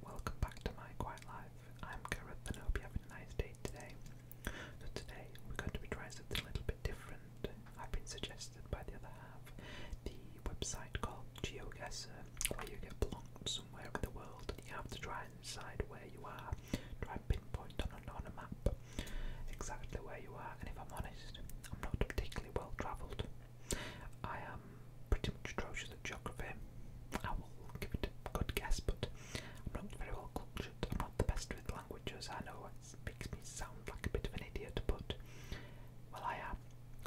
Welcome back to my quiet life. I'm Karen, and I hope you having a nice day today. So today we're going to be trying something a little bit different. I've been suggested by the other half the website called GeoGuessr, where you get plonked somewhere in the world and you have to try and decide where you are, try and pinpoint on a map exactly where you are. And if I'm honest, I'm not particularly well travelled. I am pretty much atrocious at geography. I will give it a good guess, but I'm not very well cultured. I'm not the best with languages. I know it makes me sound like a bit of an idiot, but well, I am.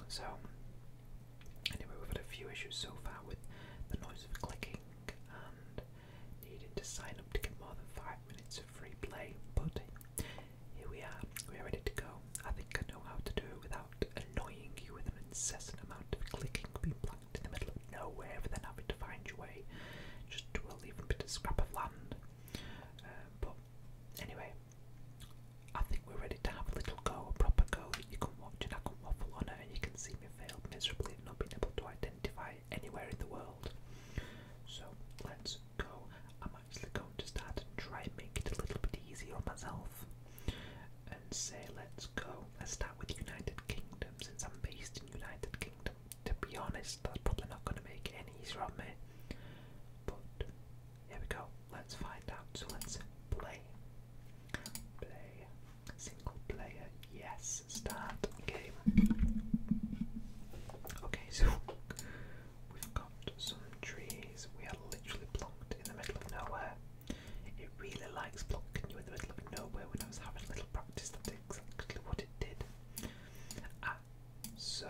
So, anyway, we've had a few issues so far with the noise of clicking and needing to sign up to get more than five minutes of free play, but here we are. We are ready to go. I think I know how to do it without annoying you with an incessant amount of clicking, being plucked in the middle of nowhere, then having to find your way just to a bit of scrap of land. Uh, but anyway, I think we're ready to have a little go, a proper go that you can watch and I can waffle on and you can see me fail miserably at not being able to identify anywhere in the world. So let's go. I'm actually going to start try and make it a little bit easier myself and say let's go. Let's start with United Kingdom since I'm based in United Kingdom. To be honest, that's probably not going to make any easier on me. But here we go. Let's find out. So let's play. Play. Single player. Yes. Start game. Okay, so we've got some trees. We are literally blocked in the middle of nowhere. It really likes blocking you in the middle of nowhere when I was having a little practice. That's exactly what it did. Ah, so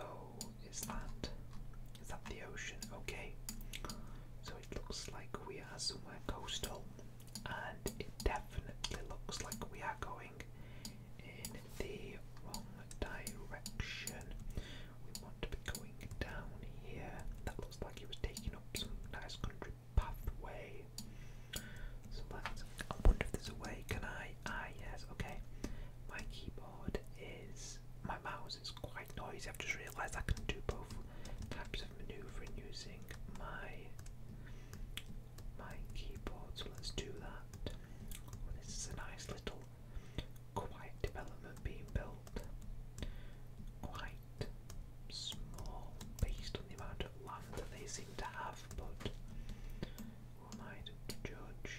is that is that the ocean? Okay. So it looks like we are somewhere coastal, and it definitely looks like we are going in the wrong direction. We want to be going down here like he was taking up some nice country pathway. So let's. I wonder if there's a Can I? Ah, yes. Okay. My keyboard is. My mouse is quite noisy. I've just realised I can do both types of manoeuvring using my my keyboard. So let's do that. this is a nice little quiet development being built. Quite small based on the amount of land that they seem to have, but who am I to judge?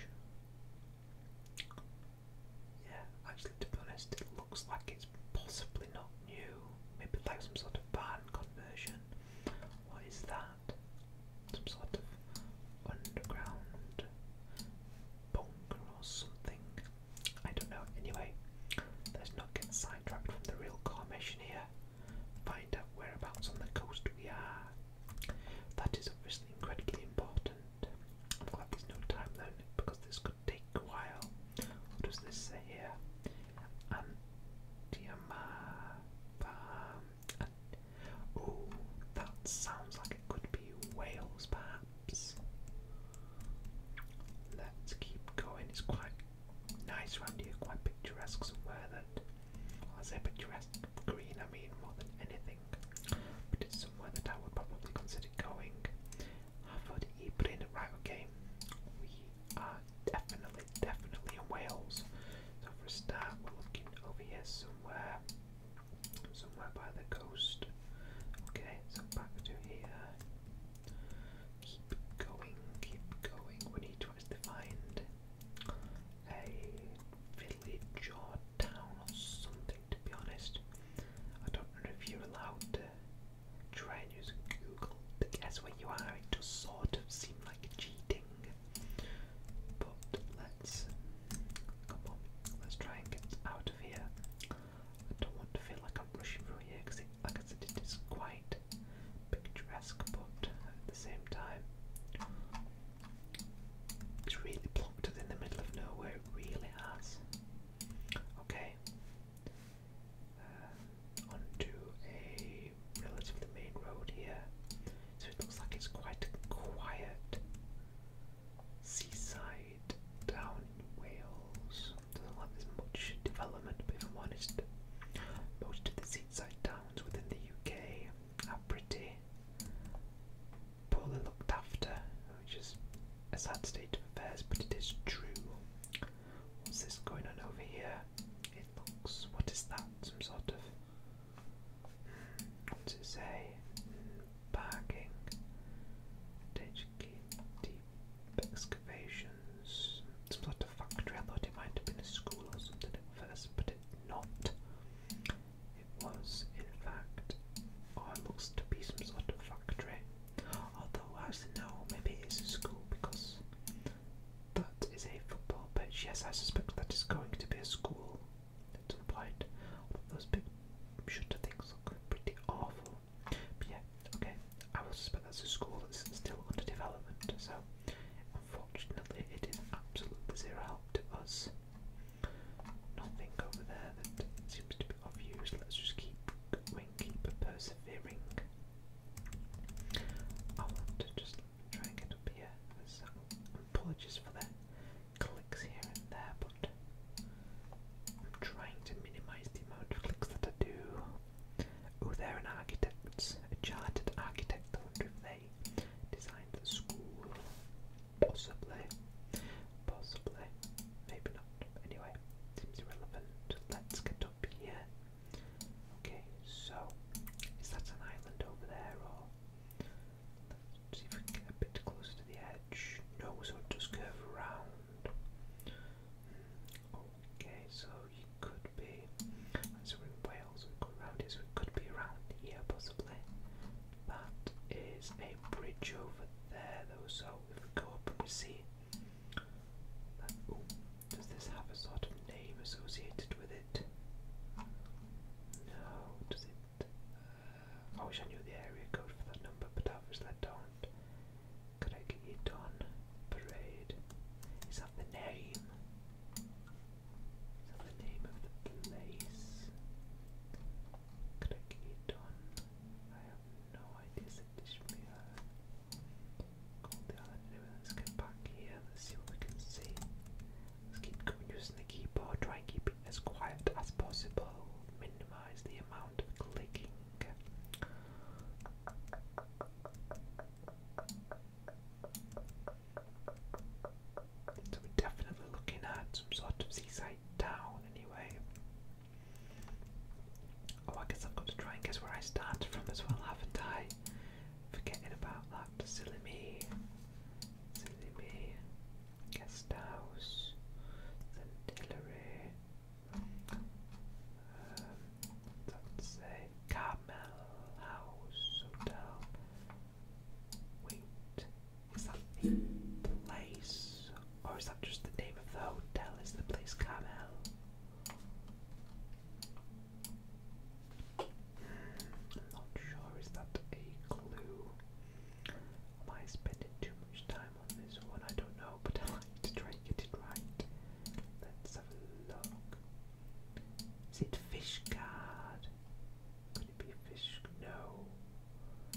Yeah, actually, to be honest, it looks like it's possibly not new. Maybe like some sort of band conversion. What is that? Some sort of underground bunker or something. I don't know. Anyway, let's not get sidetracked from the real core mission here. Find out whereabouts on the coast we are. That is obviously incredibly important. I'm glad there's no time limit because this could take a while. What does this say here? Antiama farm. Um, oh, that sounds like it could be Wales, perhaps. Let's keep going. It's quite nice around here, quite picturesque somewhere that I picturesque green I mean more than anything. But it's somewhere that I would probably consider going. After have already eaten it right okay. We are definitely, definitely in Wales. So for a start we're looking over here somewhere. Somewhere by the coast. Okay, so back to here. Keep going, keep going. We need to find a village or town or something, to be honest. I don't know if you're allowed to try and use Google to guess where you are. It does sort of seem like cheating. But let's come on, let's try and get out of here. I don't want to feel like I'm rushing through here because, like I said, it is quite picturesque, but at the same time, it's really plonked in the middle of nowhere. It really has. Okay, uh, onto a relatively main road here, so it looks like it's quite quiet. Seaside side down in Wales. Doesn't have as much development, but if I'm honest, most of the seaside towns within the UK are pretty poorly looked after, which is a sad state of affairs, but it is true. What's this going on over here? It looks. What is that? Some sort of. What's it say? Hmm, parking. Ditch deep excavations. Some sort of factory. I thought it might have been a school or something at first, but it's not. It was, in fact, oh, it looks to be some sort of factory. Although, I don't know, maybe it is a school because that is a football pitch. Yes, I suspect that is going to be a school at some Those big shutter things look pretty awful. But yeah, okay. I will suspect that's a school that's still under development, so unfortunately it is absolutely zero help to us. Nothing over there that seems to be of use. Let's just keep going, keep persevering. I want to just try and get up here. There's some apologies for the clicks here and there, but I'm trying to minimize the amount of clicks that I do. Oh, they're an architect, a chartered architect. I wonder they designed the school. Possibly. Possibly. Maybe not. Anyway, seems irrelevant. Let's get up here. Okay, so is that an island over there or see if we can get a bit closer to the edge. No, so it does curve around. Okay, so you could be. So we're in Wales, we've got around here, so it could be around here possibly. That is a bridge over there though, so if we go up and we see. That, ooh, does this have a sort of name associated with it? No, does it? Uh, I wish I knew the area code for that number, but obviously I don't. Craigie Dawn Parade. Is that the name? Is that the name of the place? Craigie I have no idea. let's get back here. Let's see what we can see. Let's keep using the keyboard. Try and keep it as quiet as possible. Minimize the amount of clicking. So we're definitely looking at some sort of seaside town anyway. Oh, I guess I've got to try and guess where I started from as well, haven't I? Forgetting about that. Silly me. Silly me. Guest house. St. Um, doesn't say Carmel House Hotel. Wait, is that the place? Or is that just the name of the hotel? Is the place Carmel? Hmm, I'm not sure. Is that a clue? Am I spending too much time time on this one, I don't know, but I like to try and get it right. Let's have a look. Is it fish guard? Could it be fish? No.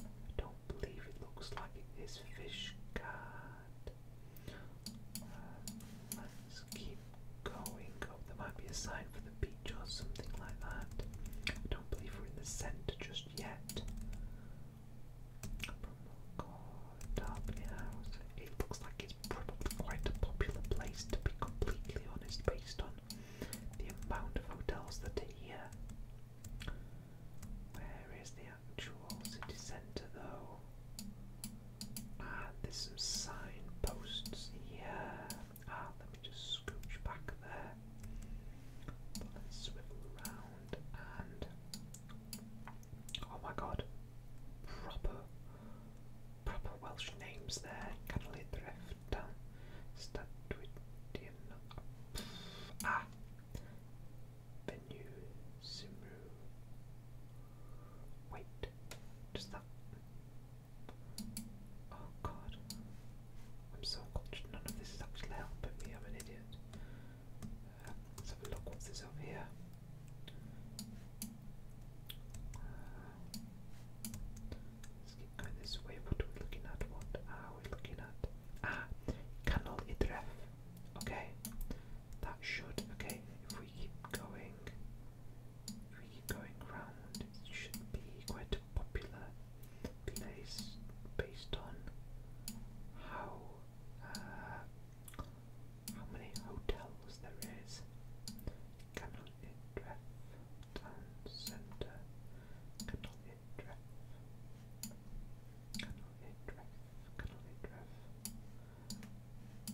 I don't believe it looks like it is fish guard. Uh, let's keep going. Oh, there might be a sign for the beach or something like that. I don't believe we're in the centre just yet. Promo code Derby House. It looks like it's probably quite a popular place to be completely honest, based on the amount of hotels that are here. Where is the actual city centre though? Ah, there's some signposts here. Ah, let me just scooch back there. Let's swivel around and Oh my god. Proper proper Welsh names there. Canlydrefta. Stadwidian Ah Venue Simru Wait. Just that Oh god. I'm so cultured. None of this is actually helping me, I'm an idiot. Let's have a look what's this over here. let's keep this way. What are looking at? What are we looking at? Ah, Canal Idref. Okay, that should. Okay, if we keep going, if we keep going round, it should be quite a popular place based on how uh, how many hotels there is. Canal Idref Town Centre. Canal Idref. Canal Idref. Canal Idref.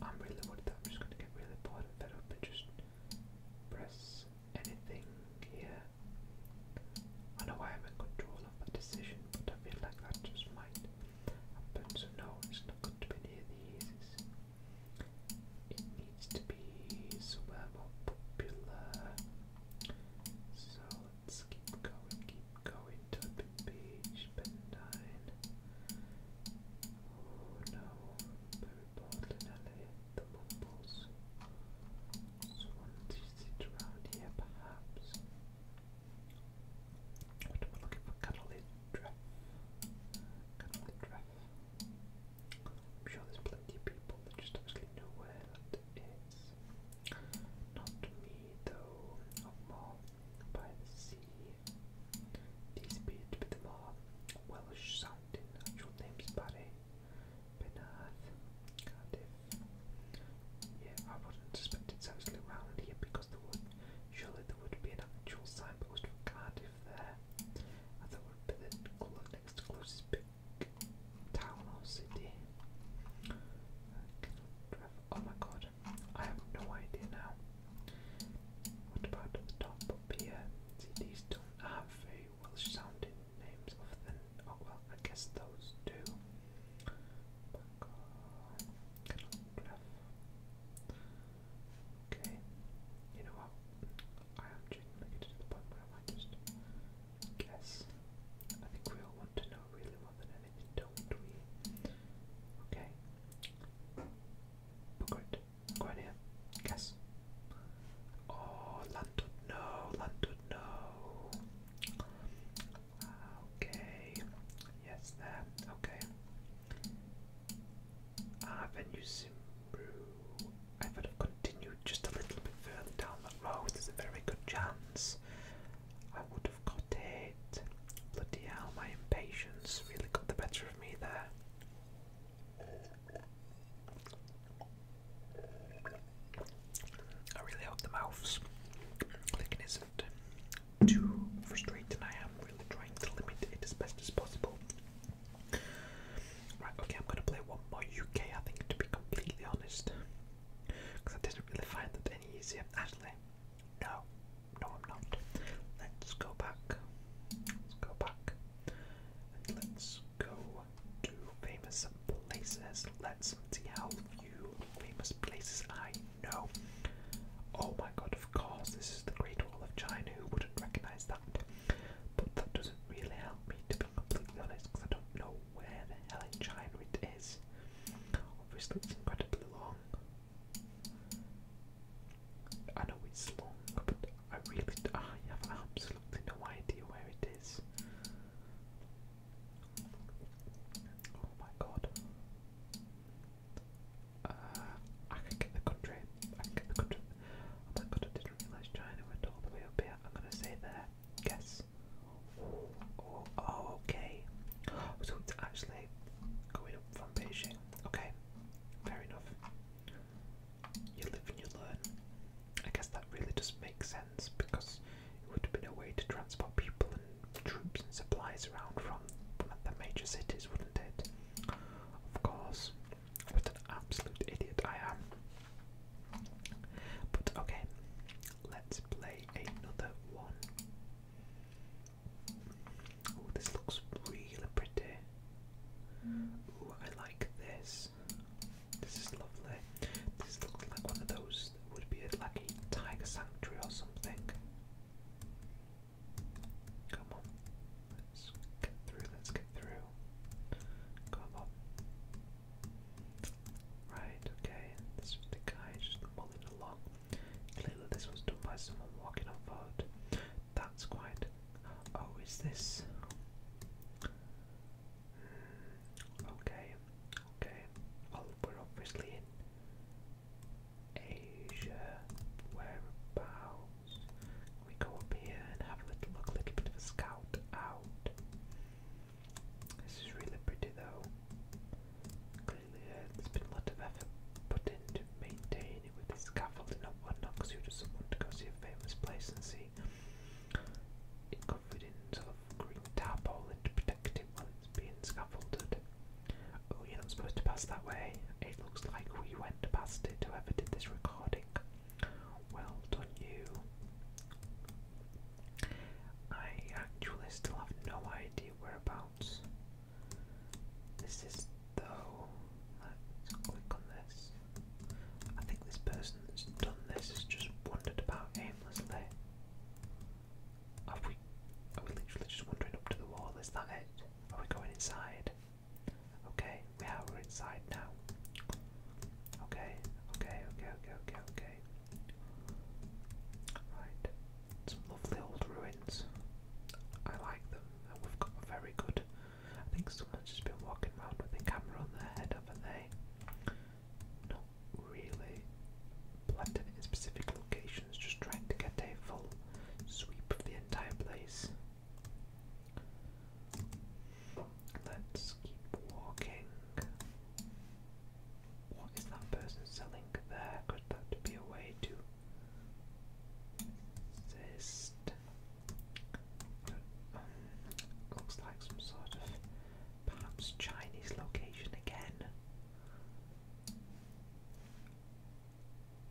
I'm really worried that I'm just going to get really bored of that up and just press anything here. I know I am in control of that decision, but I feel like that just might happen, so no, it's not going to be near the ears. It needs to be somewhere more popular. So let's keep going, keep going, Turpin Beach, Bendine. Oh no, Mary Portland Alley, the Mumbles. So one is it around here perhaps. What am looking for? Canalindra. Canalindra. I'm sure there's plenty of people that just actually know where that is. Not me though. Of more by the sea. These appear to be more Welsh sounding actual names Barry, Penarth, Cardiff. Yeah, I wouldn't suspect it's actually round here because there would surely there would be an actual signpost for Cardiff there. I thought it would be the next closest big town or city. Oh my god, I have no idea now. What about the top up here? See, these don't have very Welsh sounding names other than. Oh well, I guess those do. Okay. You know what? I am genuinely to the point where I just guess. I think we all want to know really more than anything, don't we? Okay. Booklet. Go in here. Guess. Oh, Lantwood, no, Lantwood, no. Okay. Yes, that. Okay. Ah, venue Simbru. I would have continued just a little bit further down that road. There's a very good chance I would have got it. Bloody hell, my impatience really got the better of me there. I really hope the mouse clicking isn't too frustrating. I am really trying to limit it as best as possible. Right, okay, I'm gonna play one more UK, I think, to be completely honest. Because I didn't really find that any easier. Actually, no, no, I'm not. Let's go back. Let's go back. let's go to famous places. Let's see how famous places I know. Oh my god, of course, this is the Great Wall of China. Who wouldn't recognize that? But that doesn't really help me, to be completely honest, because I don't know where the hell in China it is. Obviously, it's incredibly long. I know it's long, but I really I have absolutely no idea where it is. Oh my god. Uh, I can get the country. I can get the country. Oh my god, I didn't realise China went all the way up here. I'm gonna say there. Guess. oh okay. So it's actually going up from Beijing. Okay, fair enough. You live and you learn. I guess that really does make sense because it would have been a way to transport people and troops and supplies around from one of the major cities, wouldn't it? Of course. What an absolute idiot I am. But okay, let's play another one. Oh, this looks really pretty. Ooh, I like this. This is lovely. This looks like one of those next would be like a tiger sanctuary or something. Come on, let's get through, let's get through. Come on. Right, okay, this was the guy just mulling along. Clearly, this was done by someone walking on foot. That's quite. Oh, is this? Hmm, okay, okay. Well, we're obviously in Asia. Whereabouts? We go up here and have a little look, a little bit of a scout out. This is really pretty though. Clearly, uh, has been a lot of effort put into maintaining with scaffolding and whatnot because you just want to go see a famous place and see it covered in sort of green tarpaulin to protect it scaffolded. Oh, you're not supposed to pass that way. It looks like we went past it, whoever did this recording. Well done, you. I actually still have no idea whereabouts this is, though. Let's click on this. I think this person that's done this has just wandered about aimlessly. Have we are we literally just wandering up to the wall? Is that it? Are we going inside? Okay, we are we're inside now. Okay, okay, okay, okay, okay, okay. Right. Some lovely old ruins. I like them. And we've got very good I think someone's just been walking around with a camera on their head, haven't they? No, really planted in specific locations, just trying to get a full sweep of the entire place. Let's keep walking. What is that person selling there? Could that be a way to resist? looks like some sort of perhaps Chinese location again.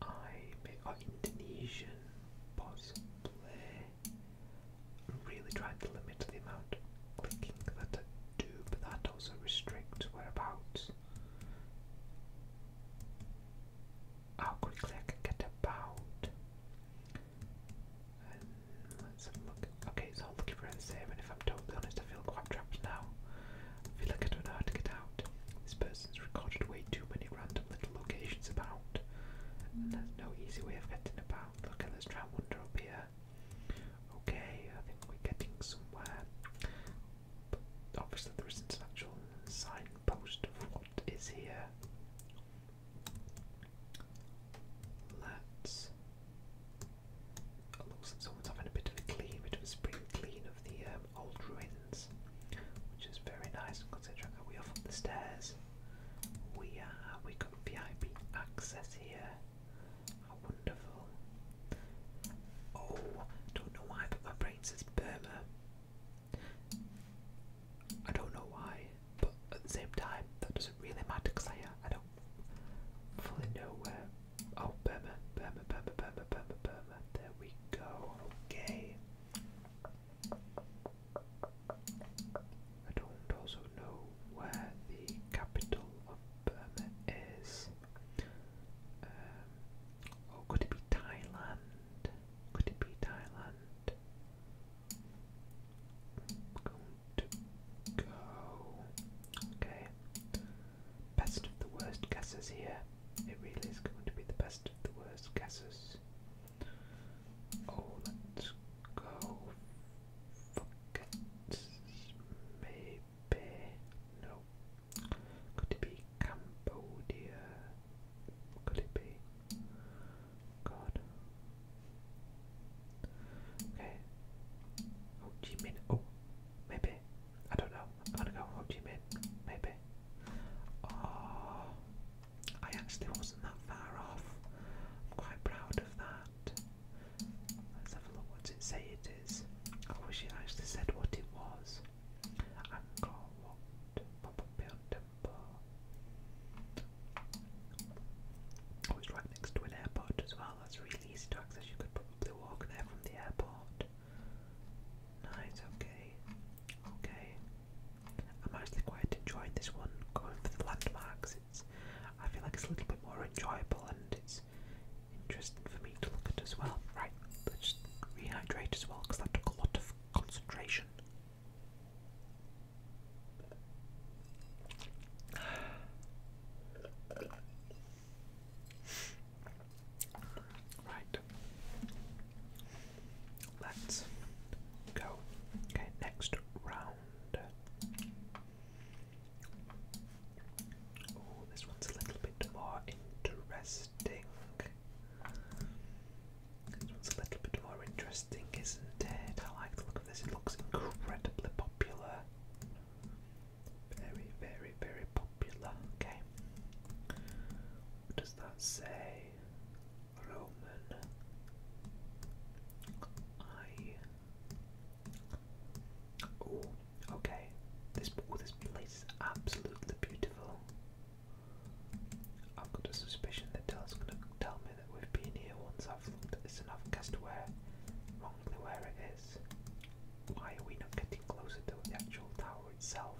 I may or oh, Indonesian possibly really tried to limit the amount of clicking that I do, but that also restricts whereabouts how quickly I can get about. Um, let's have a look. Okay, so looking for the same, and if I'm totally honest, I feel quite trapped now. I feel like I don't know how to get out. This person's recorded way too many random little locations about. And there's no easy way of getting about. Okay, let's try and wander up here. Okay, I think we're getting somewhere. But obviously there isn't an actual signpost of what is here. Let's it someone's having a bit of a clean, bit of a spring clean of the um, old ruins, which is very nice considering we are from the stairs. We are, uh, we got VIP access here. How wonderful. Oh, don't know why, but my brain says Burma. I don't know why, but at the same time, that doesn't really matter because uh, I don't fully know where Oh, Bama, Bama, Bama, Bama, Bama, Bama. There we go. Okay. I don't also know where the capital of Burma is. Um, could it be Thailand? Could it be Thailand? going to go. Okay. Best of the worst guesses here. It really is going to be the best of the worst guesses. Oh, let's go. Forget. Maybe. No. Could it be Cambodia? Could it be? God. Okay. Ho Chi Minh. Oh, oh Maybe. I don't know. I'm gonna go Ho Chi Minh. Maybe. Oh, I actually wasn't that far off. I'm quite proud of that. Let's have a look what it say it is. I wish it actually said what it was. Angkor Wat Pompeian Temple. Oh, it's right next to an airport as well. That's really easy to You could put probably walk there from the airport. Nice, okay. Okay. I'm actually quite enjoying this one, going for the landmarks. It's I feel like it's a little bit more enjoyable and it's interesting for me to look at as well. Right, let's rehydrate as well because that took a lot of concentration. Right. Let's go. Okay, next round. Oh, this one's a little bit more interesting. This one's a little bit more interesting, isn't it? I like the look of this, it looks incredibly popular. Very, very, very popular. Okay. What does that say? Roman. I. Oh, okay. This oh, this place is absolutely beautiful. I've got a suspicion that Dell's gonna tell me that we've been here once I've looked at this and i where wrongly where it is. Why are we not getting closer to the actual tower itself?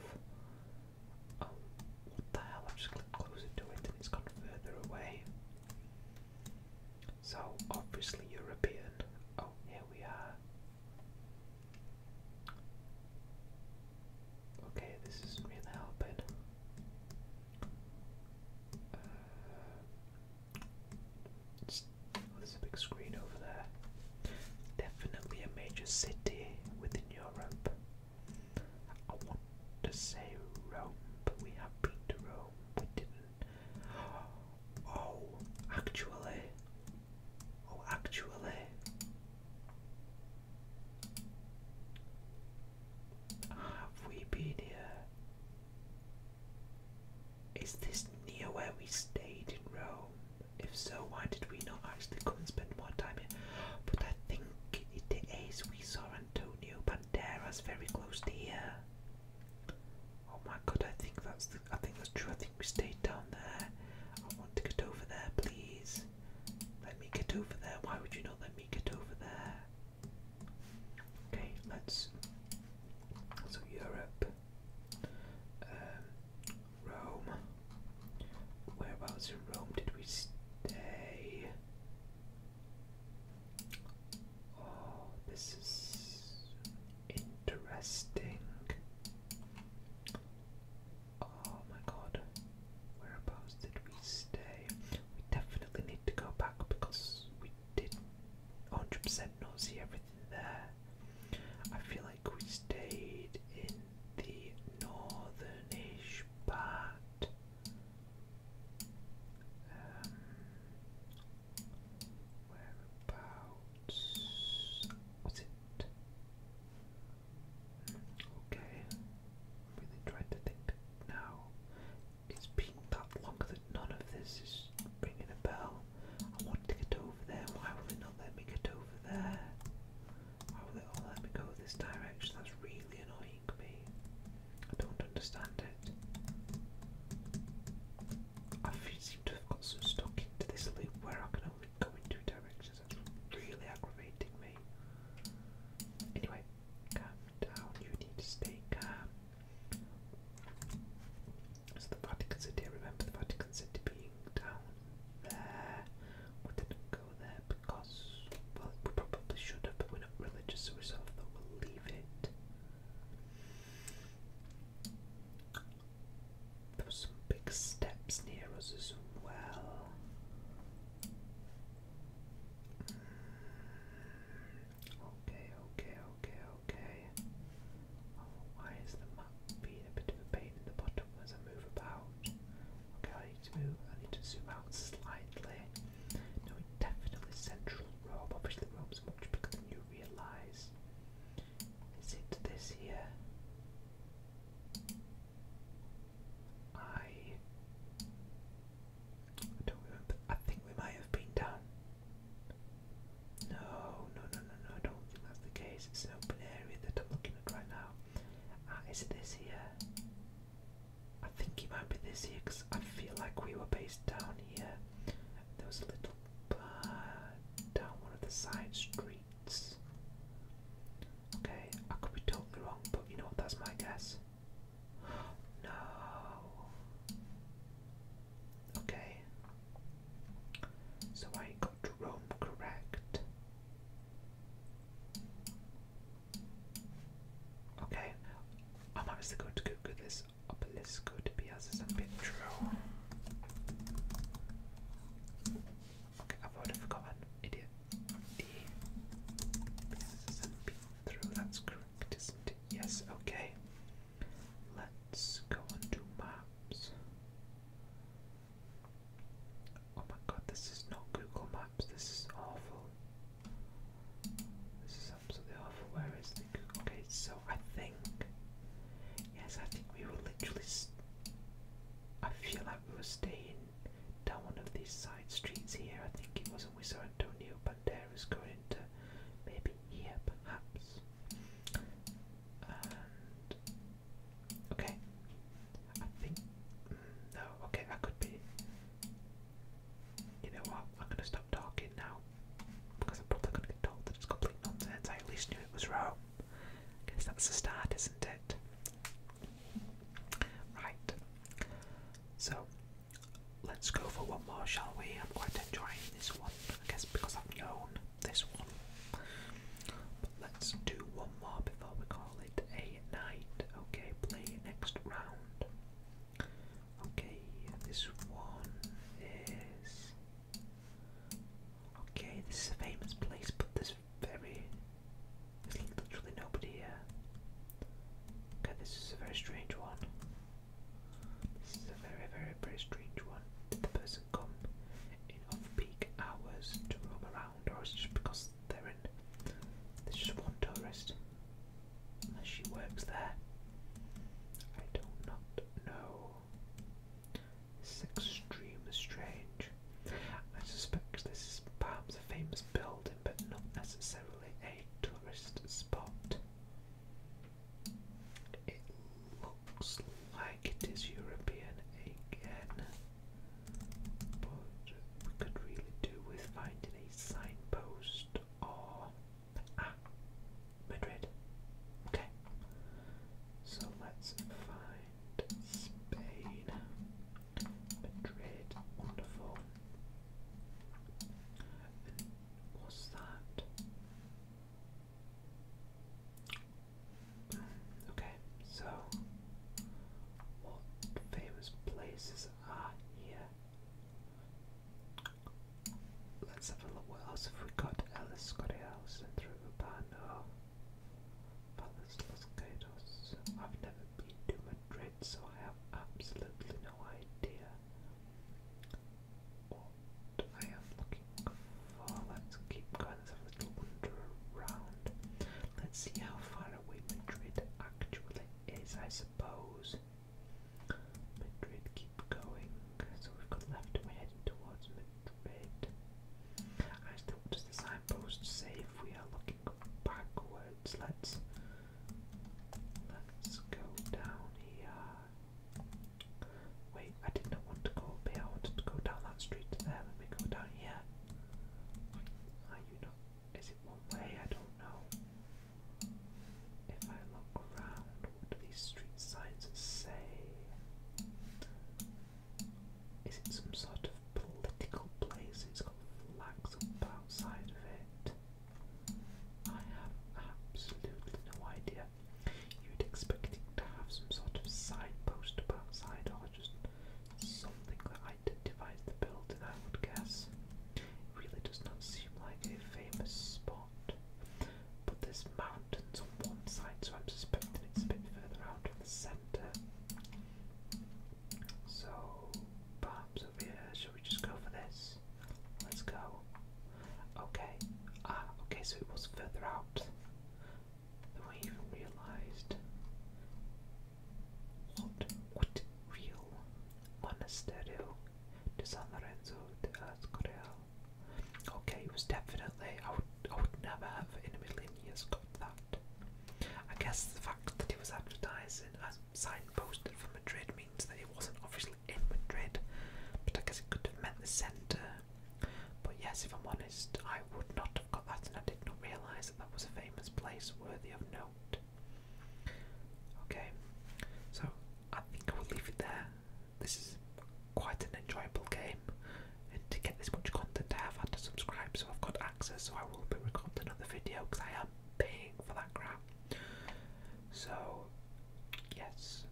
Oh, what the hell, I've just clicked closer to it and it's gone further away. So, obviously European. Oh, here we are. Okay, this is really helping. Uh, Oh, there's a big screen over there. Definitely a major city within Europe. I want to say Rome, but we have been to Rome. We didn't. Oh, actually. Oh, actually. Have we been here? Is this near where we stayed in Rome? If so, why did we not actually come and spend more time here? But I think it is. We saw Antonio Banderas very close to here. Oh my god, I think that's I think that's true. I think we stayed down there. I want to get over there, please. Let me get over there. Why would you not let me get over there? Okay, let's. So Europe. Um, Rome. Whereabouts in Rome did we stay? Oh, this is interesting. Oh my god. Whereabouts did we stay? We definitely need to go back because we did 100% not see everything there. I feel like we stayed in the northernish part. Um, whereabouts was it? Okay, really tried to think now. It's been that long that none of this is is a bell. I want to get over there. Why will it not let me get over there? Why will it all let me go this direction? That's really annoying me. I don't understand it. I seem to have got so stuck into this loop where I can only go in two directions. That's really aggravating me. Anyway, calm down. You need to stay calm. So the Vatican City, remember the Vatican City being down there. We didn't go there because, well, we probably should have, we're not religious, so we thought we'll leave it. There were some big steps near us as well. Mm. Okay, okay, okay, okay. Oh, why is the map being a bit of a pain in the bottom as I move about? Okay, I need to move, I need to zoom out slightly. No, it's definitely central Rome. Obviously Rome's much bigger than you realise. Is it this here? I don't remember. I think we might have been down no, no, no, no, no, I don't think that's the case. It's an open area that I'm looking at right now. Ah, is it this here? I think it might be this here because I feel like we were based down here. There was a little bar down one of the side streets. Okay, I could be totally wrong, but you know what? That's my guess. No. Okay. So I got Rome correct. Okay. I am as well go to Google this obelisco to be as is a picture. Okay, I've already forgotten. Idiot. E. Through, that's correct, isn't it? Yes, okay. Let's go and maps. Oh my god, this is not Google Maps, this is awful. This is absolutely awful. Where is the Google? Okay, so I think. Yes, I think we were literally. I feel like we were staying down one of these side streets here. I think it wasn't. We saw Antonio was going to maybe here, perhaps okay. I think mm, no. Okay, I could be. You know what? I'm gonna stop talking now because I'm probably gonna get told that it's complete nonsense. I at least knew it was wrong. I guess that's the start, isn't it? Right. So let's go for one more, shall we? I'm quite enjoying this one. I guess because I've known this one. But let's do one more before we call it a night. Okay, play next round. Okay, this one is. Okay, this is a famous place, but there's very. There's literally nobody here. Okay, this is a very strange one. This is a very, very, very strange one come in off-peak hours to roam around, or just because they're in? There's just one tourist, she works there. I do not know. This is extremely strange. I suspect this is perhaps a famous building, but not necessarily a tourist spot. It looks like it is European again, but we could really do with finding a signpost or. Ah, Madrid. Okay. So let's find Spain. Madrid, wonderful. what's that? Okay, so what famous places are here? Let's have a look. What else have we got? Ellis Scotty House and through Urbano Palace Los Gatos. I've never been to Madrid, so I have absolutely no idea what I looking for. Let's keep kind of a little wander around. Let's see how far away Madrid actually is, I suppose. Madrid, keep going. So we've got left and we're heading towards Madrid. Actually, what does the signpost say if we are looking backwards? Let's let's go down here. Wait, I did not want to go up I wanted to go down that street there. Let me go down here. Are you not? Is it one way? I don't know. If I look around, what do these street signs say? Is it some sort of political place? It's got flags up outside of it. I have absolutely no idea. You'd expect it to have some sort of side post about side or just something that identifies the building, I would guess. It really does not seem like a famous spot. But there's mountains on one side, so I'm suspecting it's a bit further out from the centre. So, perhaps over here, shall we just go for this? Let's go. Okay. Ah, okay, so it was further out we even realized what would real Monasterio de San Lorenzo de Escorial. Okay, it was definitely I would I would never have in a million years got that. I guess the fact that it was advertising as signposted from Madrid means that it wasn't obviously in Madrid, but I guess it could have meant the centre but yes, if I'm honest, I would not have got that, and I did not realise that that was a famous place worthy of note. Okay, so I think I will leave it there. This is quite an enjoyable game, and to get this much content, I have had to subscribe, so I've got access. So I will be recording another video because I am paying for that crap. So, yes,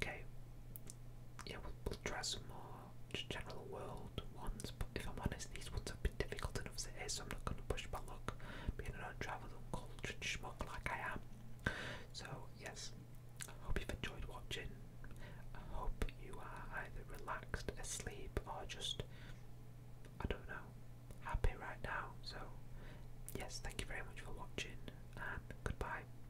okay, yeah, we'll, we try some more just general world ones. But if I'm honest, these ones have been difficult enough as it is, so I'm not going to push my luck, being an untraveled, uncultured schmuck like I am. So yes, I hope you've enjoyed watching. I hope you are either relaxed, asleep, or just I don't know, happy right now. So yes, thank you very much for watching, and goodbye.